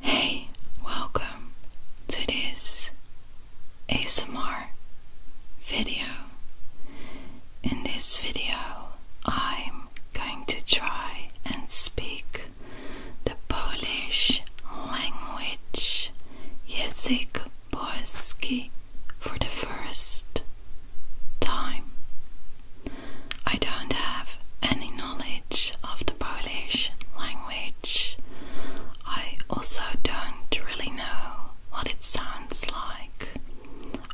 Hey, welcome to this ASMR video. In this video, I'm going to try and speak the Polish language Język Polski for the first time. I don't have any knowledge of the Polish language. I also don't really know what it sounds like.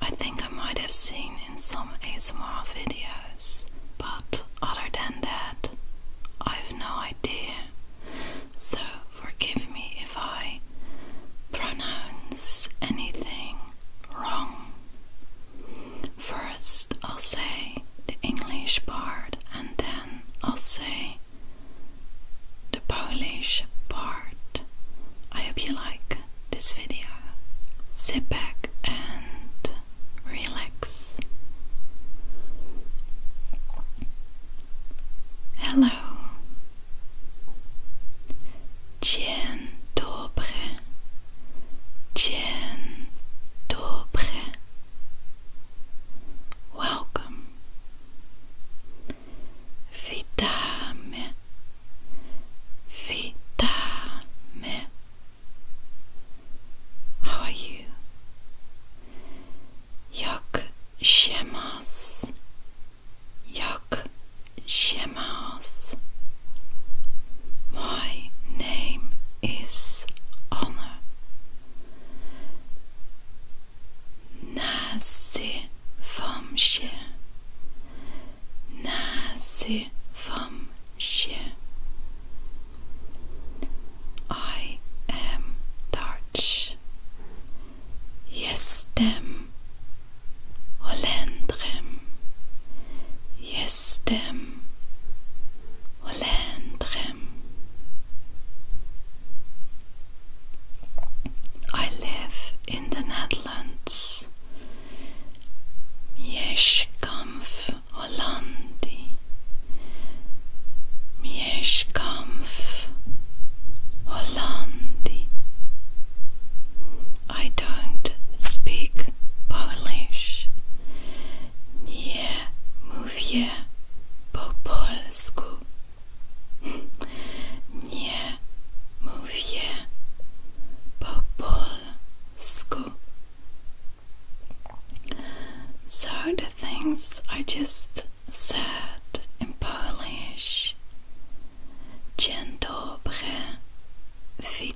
I think I might have seen in some ASMR videos, but other than that, I've no idea. So forgive me if I pronounce anything wrong. For First, I'll say the English part, and then I'll say the Polish part. I hope you like this video. Sit back and relax. Hello. Dzień dobry. Dzień dobry. Welcome. Witamy. Witamy. How are you? Jak się masz? Jak się masz? My name is Honor. Nazifam się. Nazifam się. I am Dutch. Jestem Holendrem. Jestem ولا I live in the Netherlands. Mieszkamf Hollandi. Mieszkamf Hollandi. I don't speak Polish. Nie Mówię po polsku. Nie mówię po polsku. So the things I just said in Polish. Dzień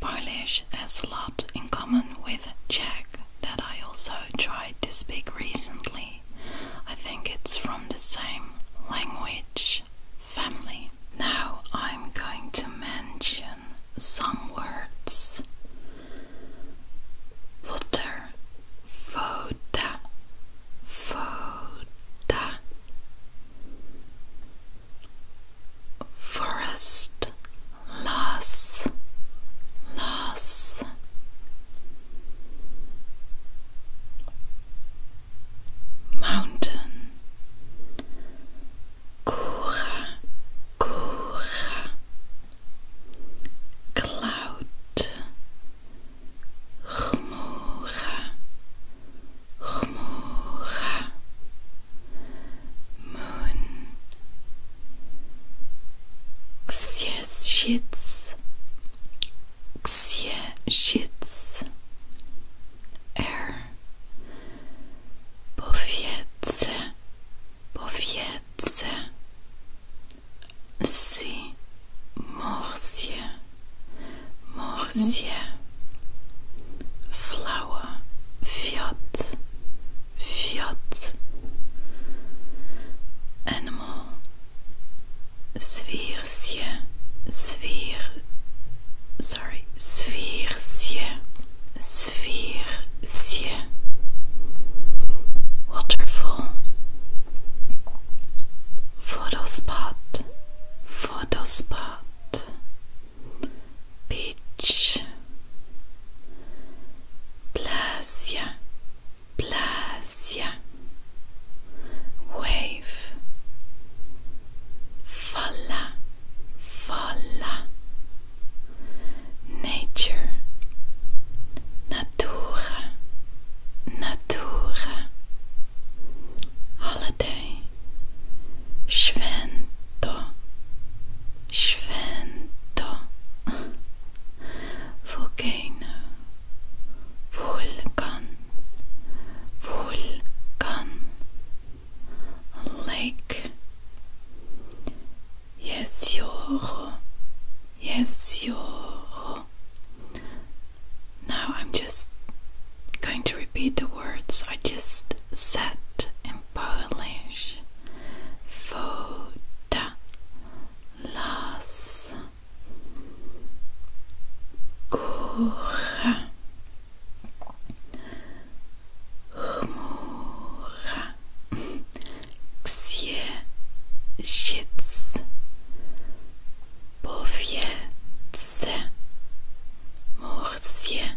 Polish has a lot in common with Czech that I also tried to speak recently. I think it's from the same language family. Now I'm going to mention some words. Water, voda, voda, forest loss loss mountain kura kura cloud Chmura, chmura, moon xie shits xie shits air er. powiece powiece si morsie morsie flower flower. Fiat. Animal. Sfeertje. Sfeer. Sorry. Sfeertje. Sfeertje. Waterfall. Photospot. Photospot beach, plazia, plazia, wave, falla, falla, nature, natura, natura, holiday, Święto, święto, Volcano, Vulkan, Vulkan, Lake, Jezioro, Jezioro. Now I'm just going to repeat the words I just set in Polish Woda Las Góra Chmura Księżyc Powiece Morsie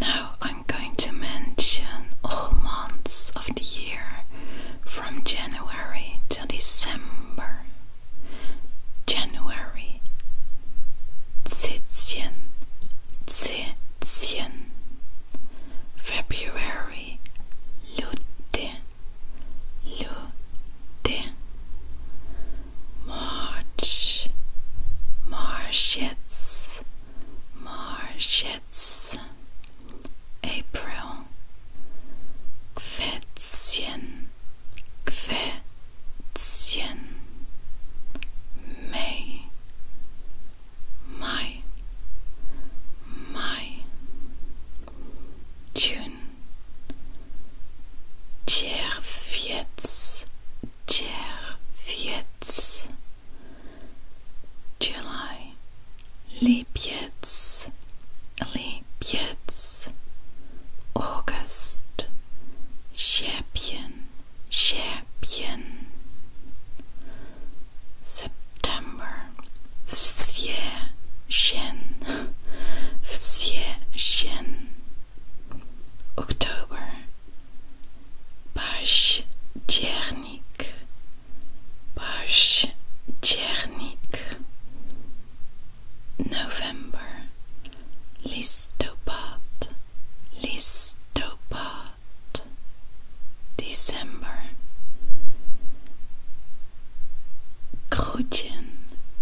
Now I'm going to mention all months of the year from January to December. January. Zitzchen. Zitzchen. February. Lute. Lute. March. Marchets. Marchets. April, Quetzien, Quetzien, May, May, May, June, Tjerfjets, Czerwiec, July, Lipiec, Lipiec, August, Sierpien, Sierpien, September, Wsierchen, Wsierchen, October, Październik, październik, November, listopad, listopad, December, Grudien,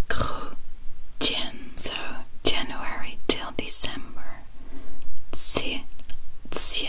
Grudien, so January till December, Zie, Zie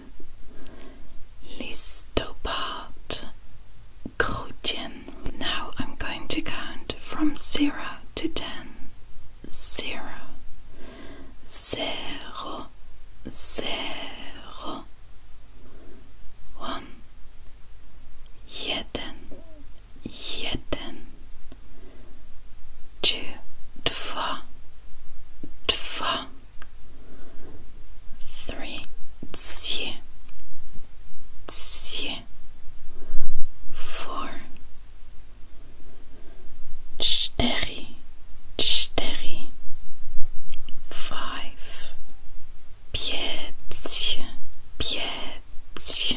listopad, grudjen. Now I'm going to count from 0 to 10. 0, 0, 0, 1, jeden, jeden, two, dwa, dwa three, tsi, tsi, four, cztery, cztery, five, pięć, pięć, six.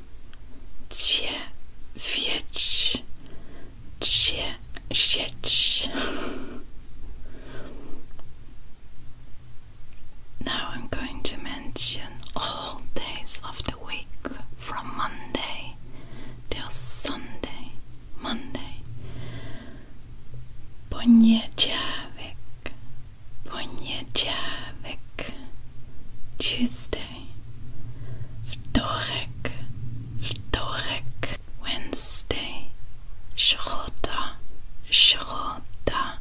Cię wieć, cię sieć. Now I'm going to mention all days of the week from Monday till Sunday. Monday. Poniedziałek, poniedziałek. Tuesday. Wednesday, środa, środa.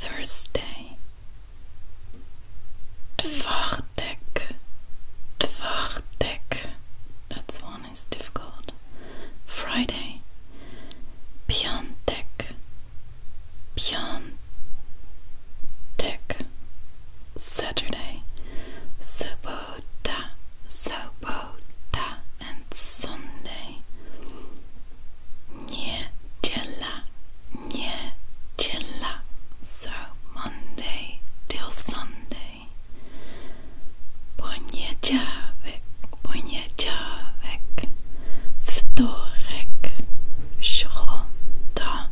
Thursday, czwartek, czwartek. That's one is difficult. Friday, piątek, piątek. Tick. Saturday. Sobota, sobota, and Sunday. Niedziela, niedziela, so Monday till Sunday. Poniedziałek, poniedziałek, wtorek, środa,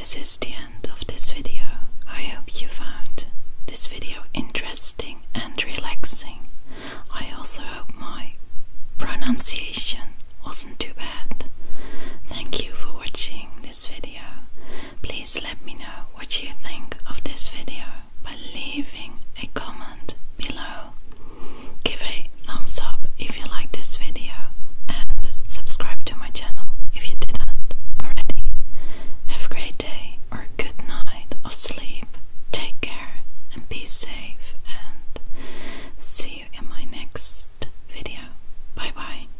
this is the end of this video. I hope you found this video interesting and relaxing. I also hope my pronunciation wasn't too bad. Thank you for watching this video. Please let me know what you think of this video by leaving a comment below. Give a thumbs up if you like this video and subscribe to my channel if you didn't already. Have a great day or a good night of sleep. Take care and be safe and see you in my next video. Bye bye.